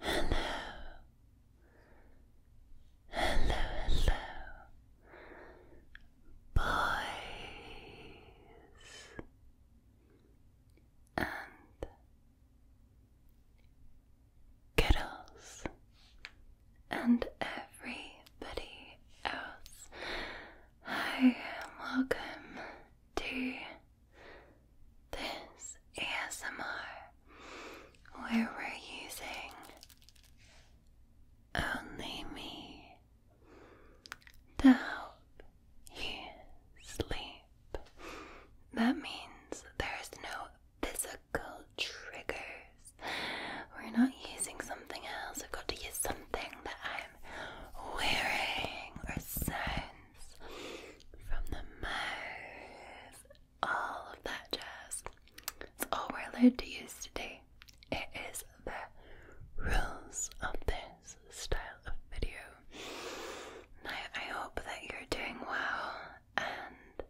Hello, hello, hello, boys and girls and everybody else. Hi, and welcome to this ASMR where we're using only me to help you sleep. That means there's no physical triggers we're not using something else. I've got to use something that I'm wearing or sounds from the mouth. All of that jazz. It's all we're allowed to use today. It is the rules of this style of video. I hope that you're doing well and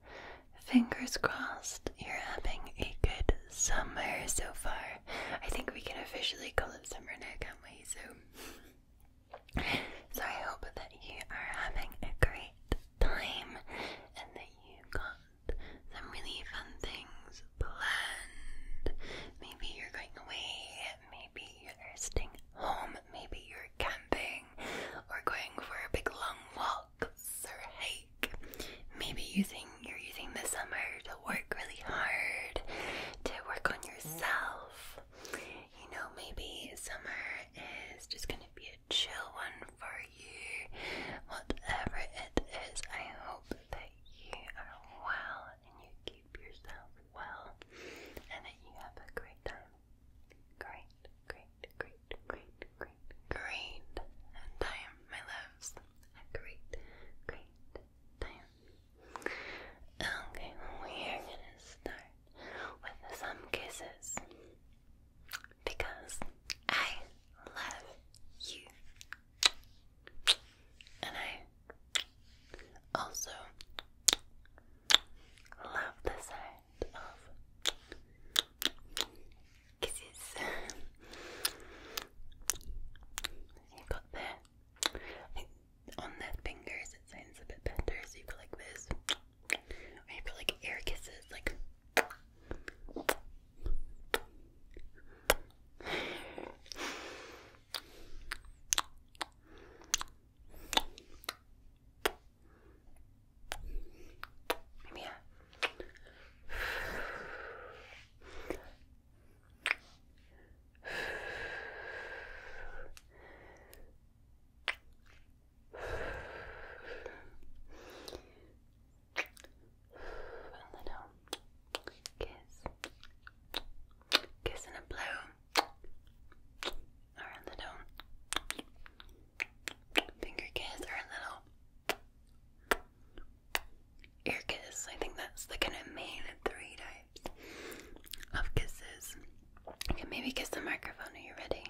fingers crossed you're having a good summer so far. I think we can officially call it summer now, can't we? So, so I hope that you are having a great time and that you have got some really fun things planned. Maybe you're going away, maybe you're staying home, maybe you're camping or going for a big long walk looks Maybe you you're using the summer to work really hard, to work on yourself. You know, maybe summer is just going to be a chill one for you. Whatever it is, I hope that you are well and you keep yourself well and that you have a great time. Great, great, great, great, great, great time, my loves a great, great time. Okay, we are gonna start with some kisses because I love you, and I also love the sound of kisses. you got the on the fingers it sounds a bit better, so you've like this. Or you like air kisses, like yeah. A little kiss, kiss and a blow, or a little finger kiss, or a little ear kiss. I think that's the kind of main three types of kisses. You maybe kiss the microphone. Are you ready?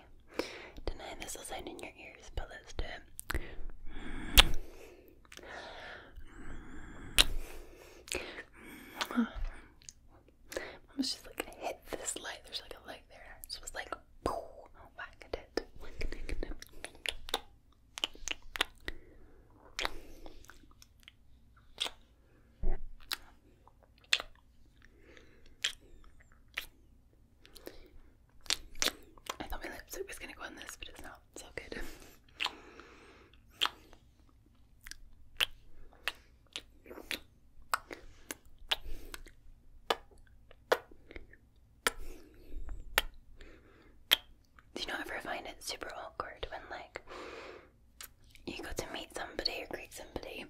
Tonight this will sound in your ears, but let's do it. Mama's just like hit this light. There's like a light there. So it's like whack a day. I thought my lipstick was gonna go on this, but it's not. So good. Do you not ever find it super awkward when, like, you go to meet somebody or greet somebody,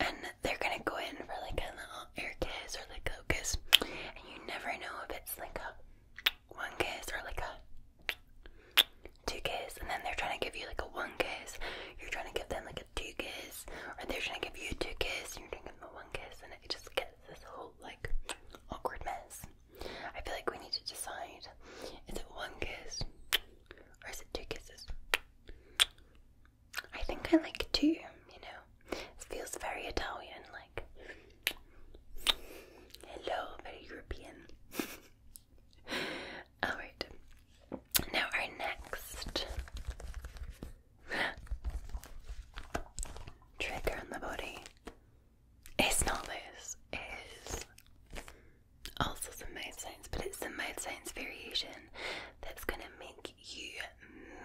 and they're gonna go in for like a little air kiss or like a kiss, and you never know if it's like a one kiss or like a two kiss, and then they're trying to give you like a one kiss, you're trying to give them like a two kiss, or they're trying to give you two kiss, and you're trying to give them one kiss, and it just gets this whole like awkward mess. I feel like we need to decide is it one kiss or is it two kisses? I think I like two, you know. It feels very Italian, like hello, very European. Alright. Now our next Trigger in the body. It's not this, it is also some mode science, but it's the mode science variation that's gonna make you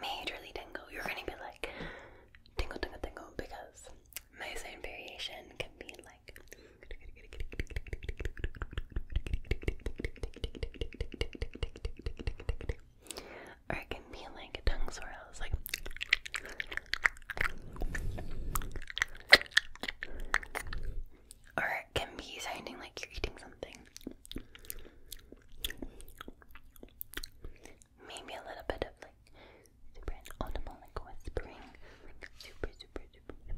majorly tingle. You're gonna be like tingle, tingle, tingle because mode science variation can be like or it can be like a tongue swirl. It's like or it can be sounding like you're eating something. Maybe a little bit of like super inaudible, like whispering, super, super, super.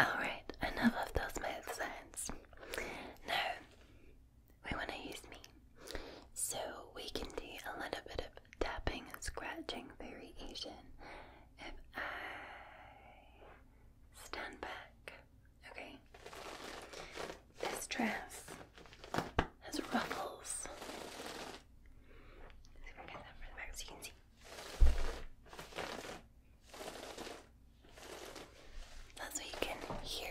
Alright, enough those mouth sounds. Now, we want to use me. So, we can do a little bit of tapping and scratching variation. If I stand back, okay? This dress has ruffles so we'll get that from the back so you can see. That's what you can hear.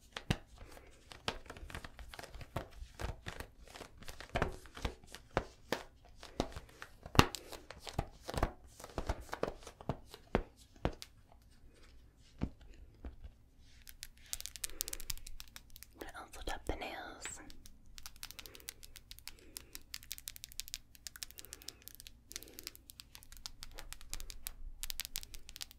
I also tap the nails.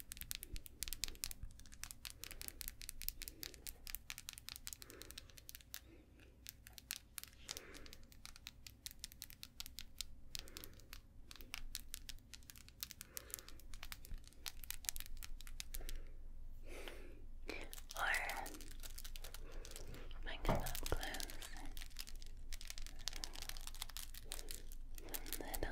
Or bring it up close. Some little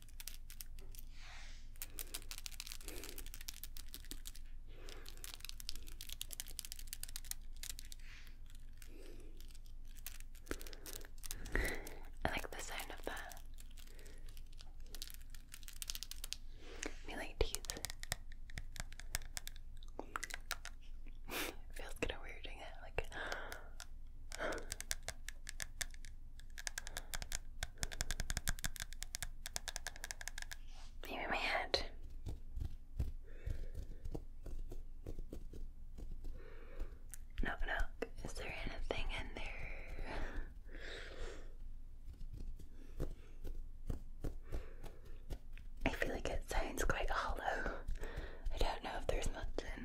I like the sound of that. Me like teeth. it feels kind of weird doing it, like Maybe my head. Knock, knock. Is there anything in there? I feel like it sounds quite hollow. I don't know if there's much in.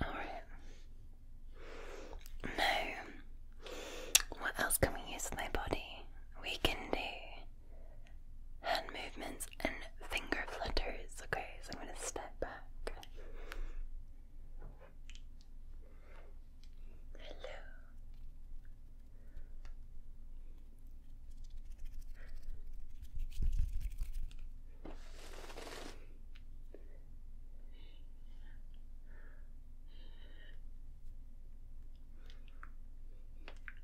All right. Now, what else can we use in my body? We can do hand movements and finger flutters. Okay, so I'm going to step back. Hello love you.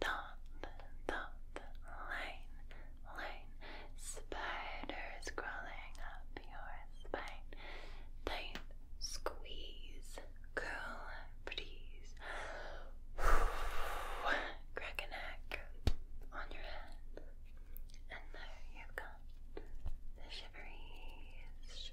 Dot, dot, line, line. Spiders crawling up your spine. Tight squeeze. Curl, breeze. Crack a neck on your head. And there you've the shiveries.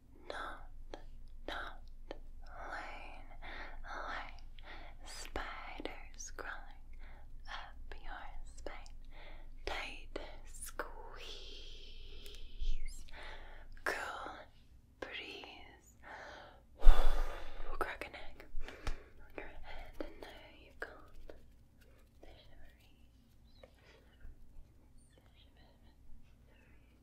Not, not alone, alone. Spiders crawling up your spine. Tight squeeze. Cool breeze. Crack a neck. Your head and there you go. The The shiveries. The shiveries.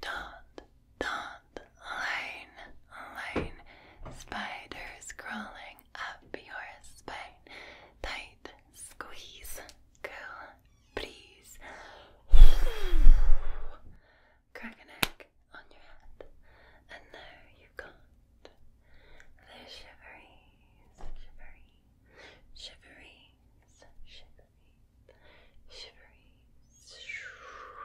Don't, don't, spiders crawling up your spine. Tight squeeze. Cool breeze. Crack an egg on your head. And now you've got the shiveries. Shiveries. Shiveries. Shiveries. Shiveries. Shoo.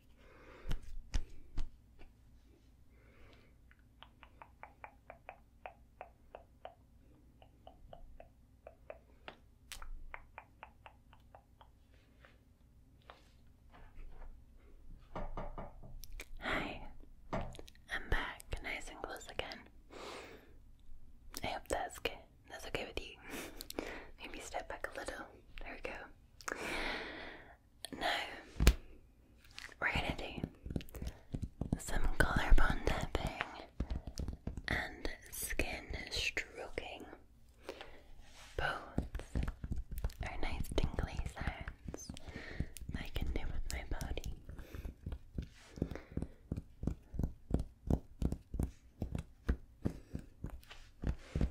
Hi, I'm back, nice and close again. I hope that's good. That's okay with you. Maybe step back a little. There we go. Now, we're gonna do some collarbone tapping and skin stroking. Both are nice tingly sounds I can do with my body.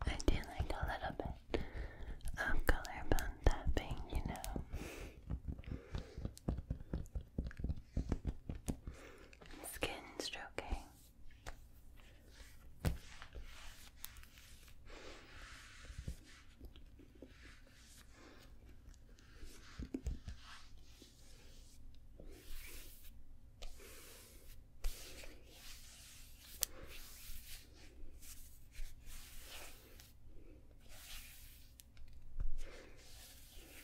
I do like a little bit of color bone tapping, you know. Skin stroking.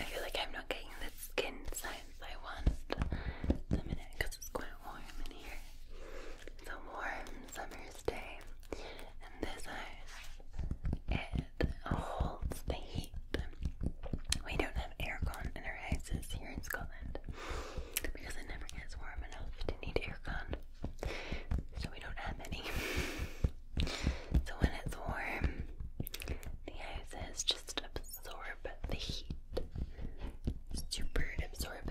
I feel like I'm not getting the skin signs I want the minute because it's quite warm in here. It's a warm summer's day, and this ice it holds the heat. We don't have aircon in our houses here in Scotland because it never gets warm enough to need aircon, so we don't have any. so when it's warm, the house is just absorb the heat. Super absorbent.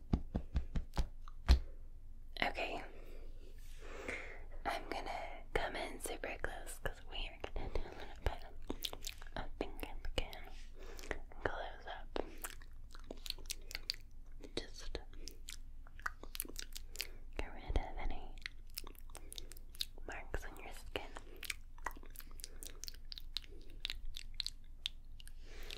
Okay. I'm gonna come in super close because we are gonna do a finger again. Close up. Just get rid of any marks on your skin.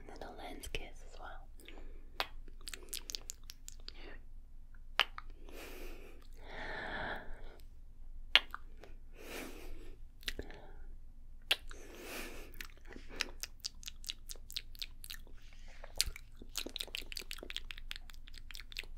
And then lens kiss as well.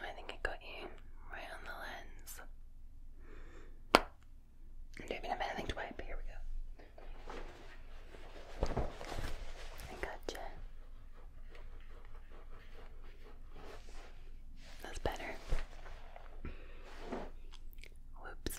I think I got you right on the lens. don't even have anything to wipe, here we go. I gotcha. That's better. Whoops.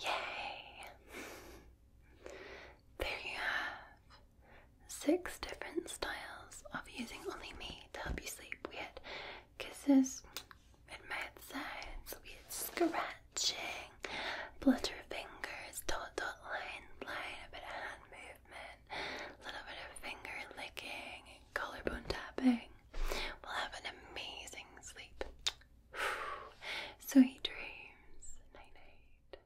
Yay! There you have six different styles of using only me to help you sleep. We had kisses, it made we're scratching, flutter fingers, dot dot line line, a bit of hand movement, a little bit of finger licking, collarbone tapping. We'll have an amazing sleep. Sweet dreams. Night night.